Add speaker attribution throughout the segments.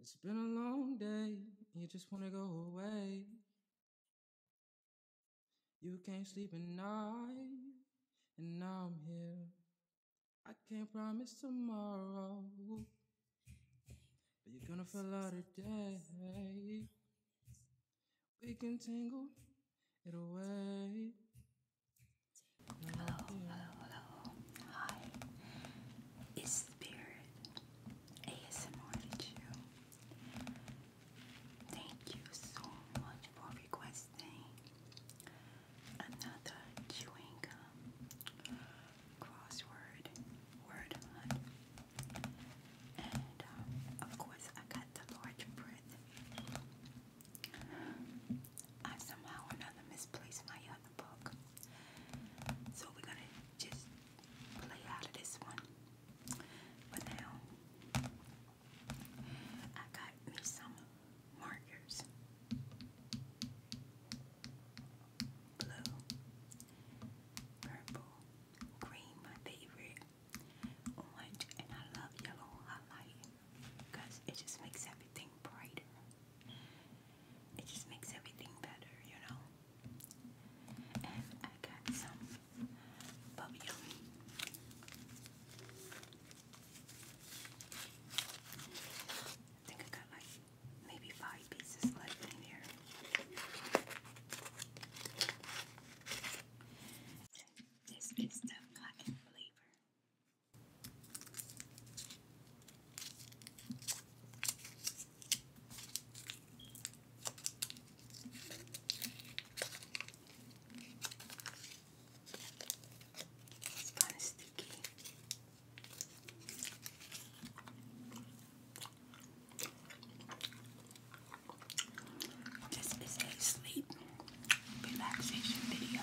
Speaker 1: It's been a long day, you just wanna go away. You can't sleep at night, and now I'm here. I can't promise tomorrow, but you're gonna feel out today. We can tangle it away. Hello, hello, Hi. Is Spirit ASMR to Thank you so much for requesting another chewing crossword word And uh, of course, I got the large print. I somehow another misplaced my other book. So we're gonna just play out of this one. But now I got me some markers. Blue, purple, green, my favorite, orange, and I love yellow highlight because it just makes everything brighter it just makes everything better, you know. And I got some bubblegum. I think I got like maybe five pieces left in here. This is the cotton flavor. It's kind of sticky. This is a sleep relaxation video.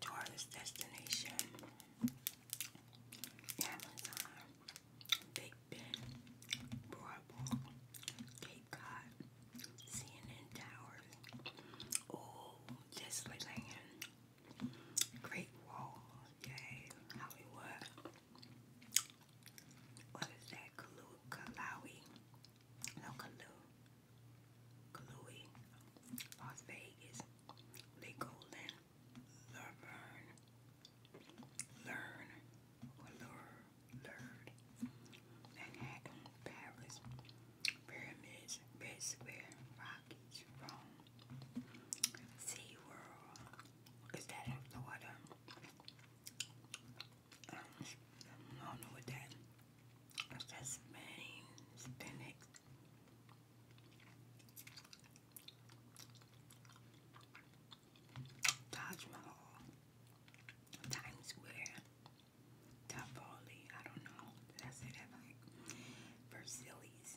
Speaker 1: Tourist destination, Amazon, Big Ben, Broadwalk, Cape Cod, CNN Towers, oh, Disneyland, Great Wall, yay, Hollywood. What is that? Kalu Kalawi. No Kalu. Kalui. Las Vegas. Legoland. Laverne. Learn. Or lure. Learn. Manhattan. Paris. Pyramids, Red Square, Rockies, Rome, Sea World. Is that in Florida? Um, I don't know what that is. That's Spain, Spinach. Taj Mahal, Times Square, Tapoli, I don't know. Did I say that right? Versillies.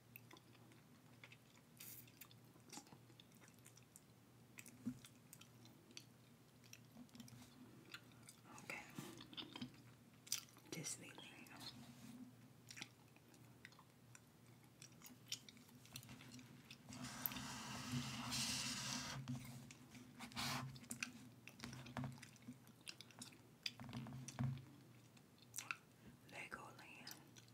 Speaker 1: Okay. Just leave Legoland. Lurve.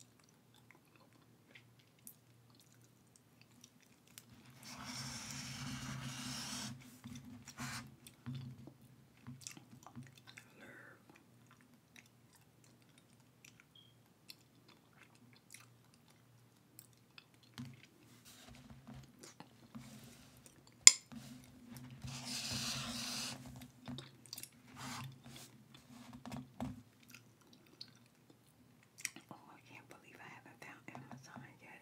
Speaker 1: Oh, I can't believe I haven't found Amazon yet.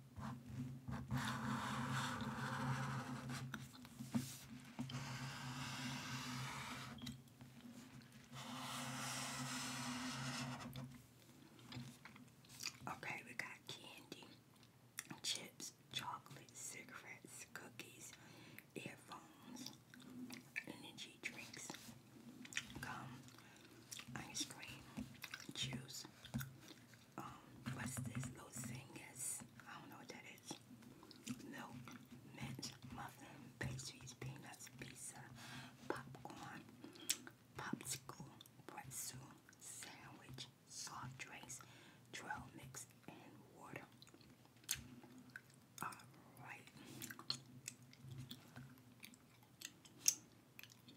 Speaker 1: Okay, we got candy, chips, chocolate, cigarettes, cookies, earphones, energy drinks, gum, ice cream, juice, um, what's this little I don't know what that is. Milk, mint, muffin, pastries, peanuts, pizza, popcorn, popsicle, pretzel, sandwich, soft drinks, trail mix, and water. All right.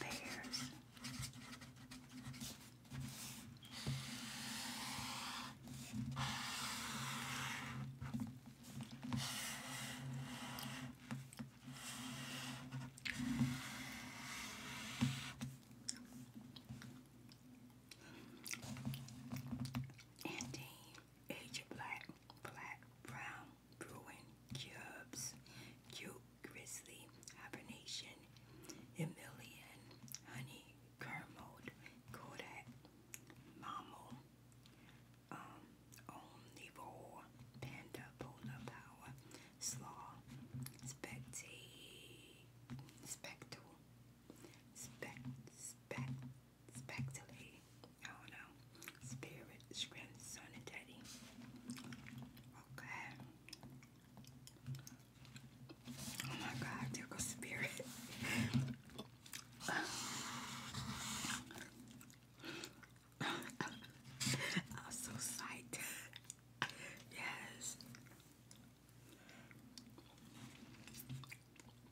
Speaker 1: pears. Andy Asia Black, Black, Brown, Bruin, Cubs, Cute, Grizzly, Hibernation, Emilian, Honey, Kermode, Kodak, Mammal, um, Omnivore, Panda, Polar Power, Slaw, Spectate, Spectral, Spect, Spect spectally, I don't know, spirit, strength, son, and daddy. Okay. Oh my God, there goes spirit. I'm so psyched. yes.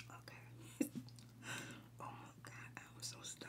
Speaker 1: Okay. oh my god, I was so stuck.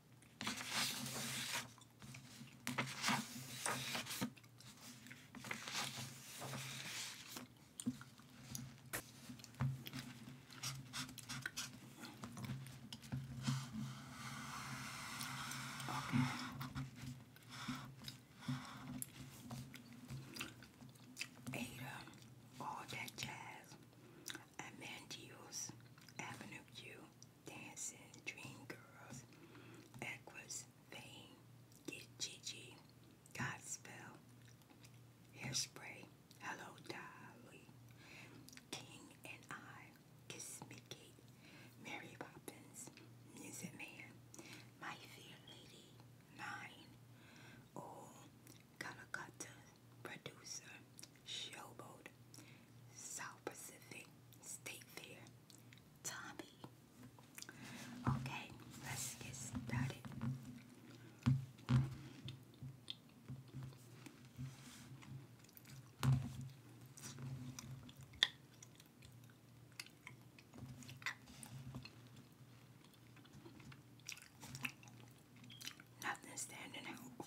Speaker 1: Ada, all that jazz at Avenue Q Dancing, Dream Girls, Equus, Fame, Get Gigi, Godspell, Hairspray, Hello Dolly, King and I, Kiss Me Kate, Mary Poppins, Music Man, My Fair Lady, Nine, Oh, Calcutta, Producer, Showboat, South Pacific, State Fair, Tommy. Okay, let's get started. Nothing standing out.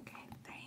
Speaker 1: Okay, thing.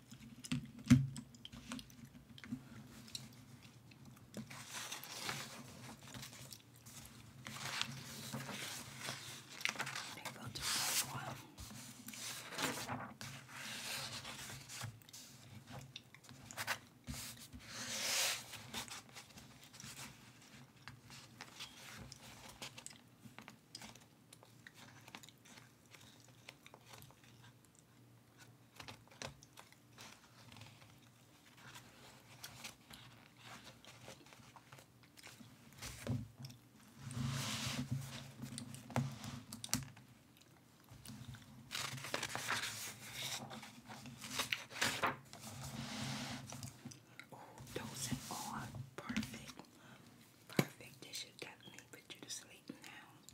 Speaker 1: Maybe I'll do for a while. Oh, those perfect. Perfect. This should definitely put you to sleep now.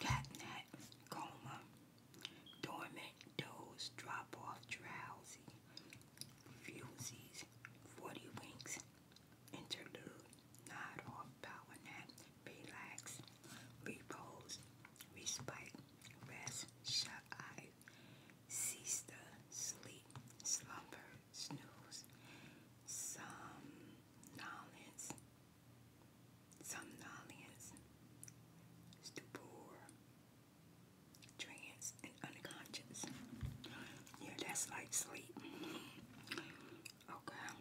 Speaker 1: catnap, coma, dormant, doze, drop off, drowsy, fusies, 40 winks, interlude, nod off, power nap, relax, repose, respite, rest, shut eye, cease the sleep, slumber, snooze, somnolence, somnolence, stupor, trance, and unconscious. Yeah, that's like sleep. Okay.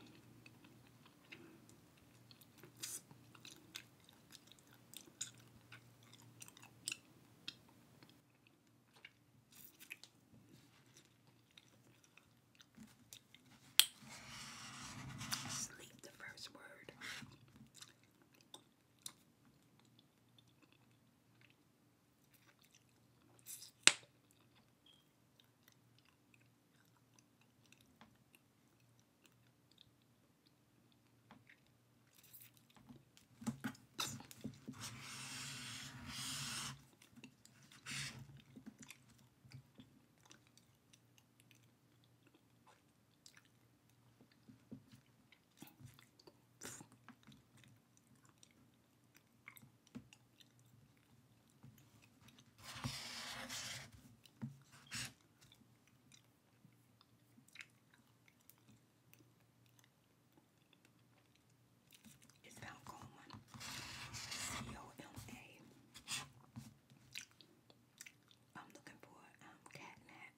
Speaker 1: Sleep the first word. It's Valcoma. C-O-M-A. I'm looking for um, catnap.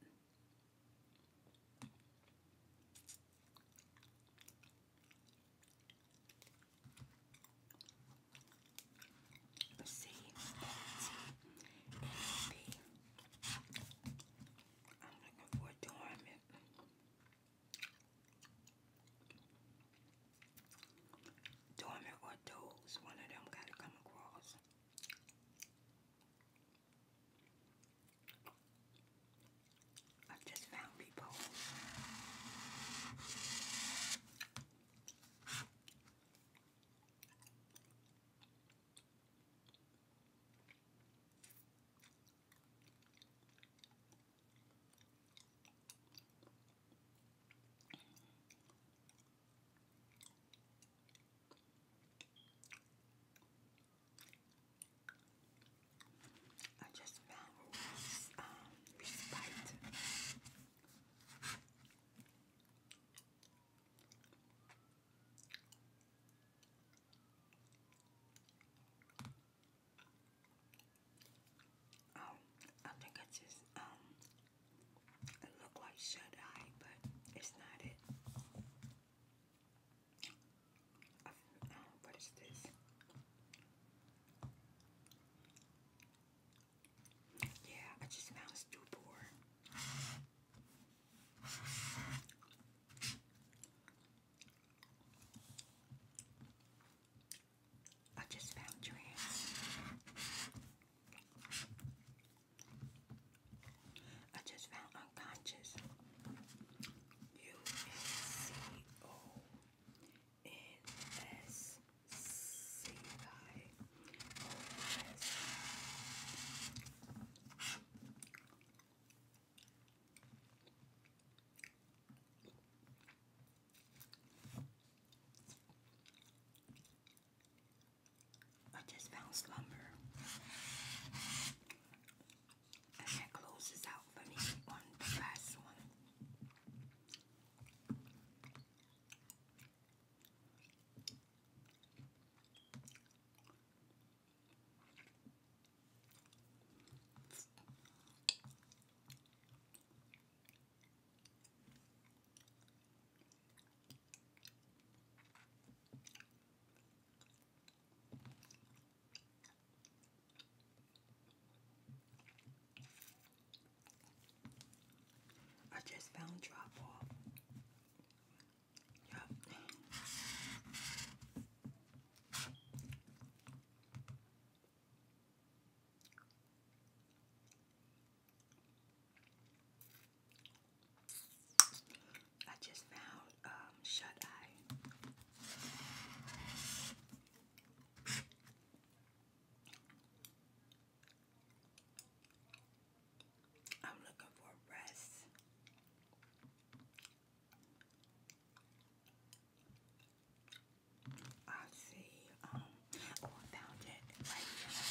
Speaker 1: But see, T I'm looking for a dormant dormant or doze. One of them got to come across. I've just found repose. I just found um, respite. Um, I think I just um it looked like shut eye, but it's not it. Um, what is this? Yeah, I just found stupor. I just found your hands. I just found unconscious. U S C O N S C I O S. I just found slumber. that closes out for me on last one. I just found drop off. I just found um, shut eye. I'm looking for rest. I see. Um, oh, I found it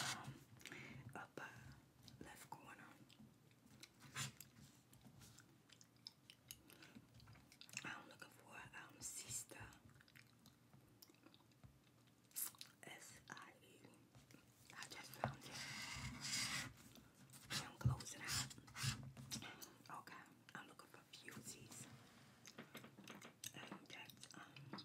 Speaker 1: Um, up uh, left corner. I'm looking for um sister. S I E. I just found it. I'm closing out. Okay, I'm looking for fusies. And that's um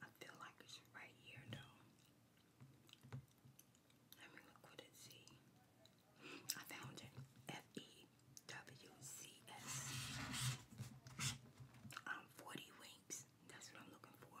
Speaker 1: I feel like it's right here though. Let me look what it see. I found it. F E W C S. Um, 40 winks. That's what I'm looking for.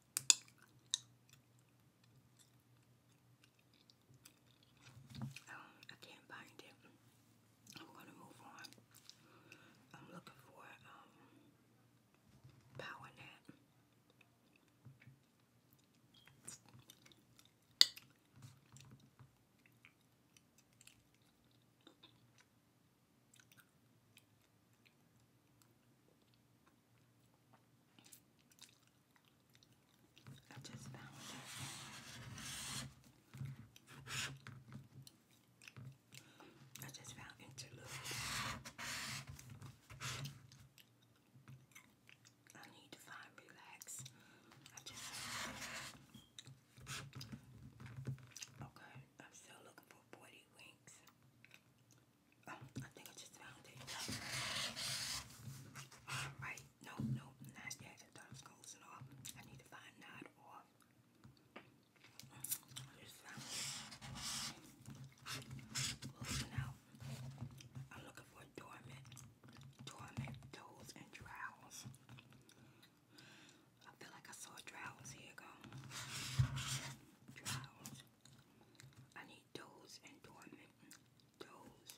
Speaker 1: Um, I can't find it. I'm to move on. I'm looking for um power nap. I just found it. I just found interlude. I need to find relax. I just okay. I'm still looking for forty winks. Oh, I think I just found it. Alright, no, no, not I thought it was closing off. I need to find that I just found it. Closing out. I'm looking for dormant, dormant toes and trowels. I feel like I saw trowels here go. Trowels. I need those and dormant. Those.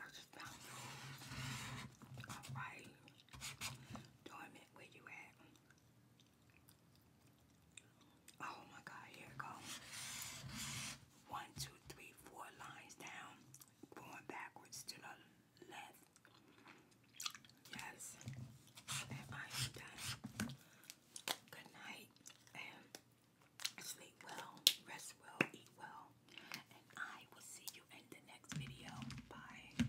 Speaker 1: I just found those. Alright. Dormant, where you at? Oh my god, here it One, two, three, four lines down. Going backwards to the left. Yes, and I done. Good night, and sleep well, rest well, eat well, and I will see you in the next video. Bye.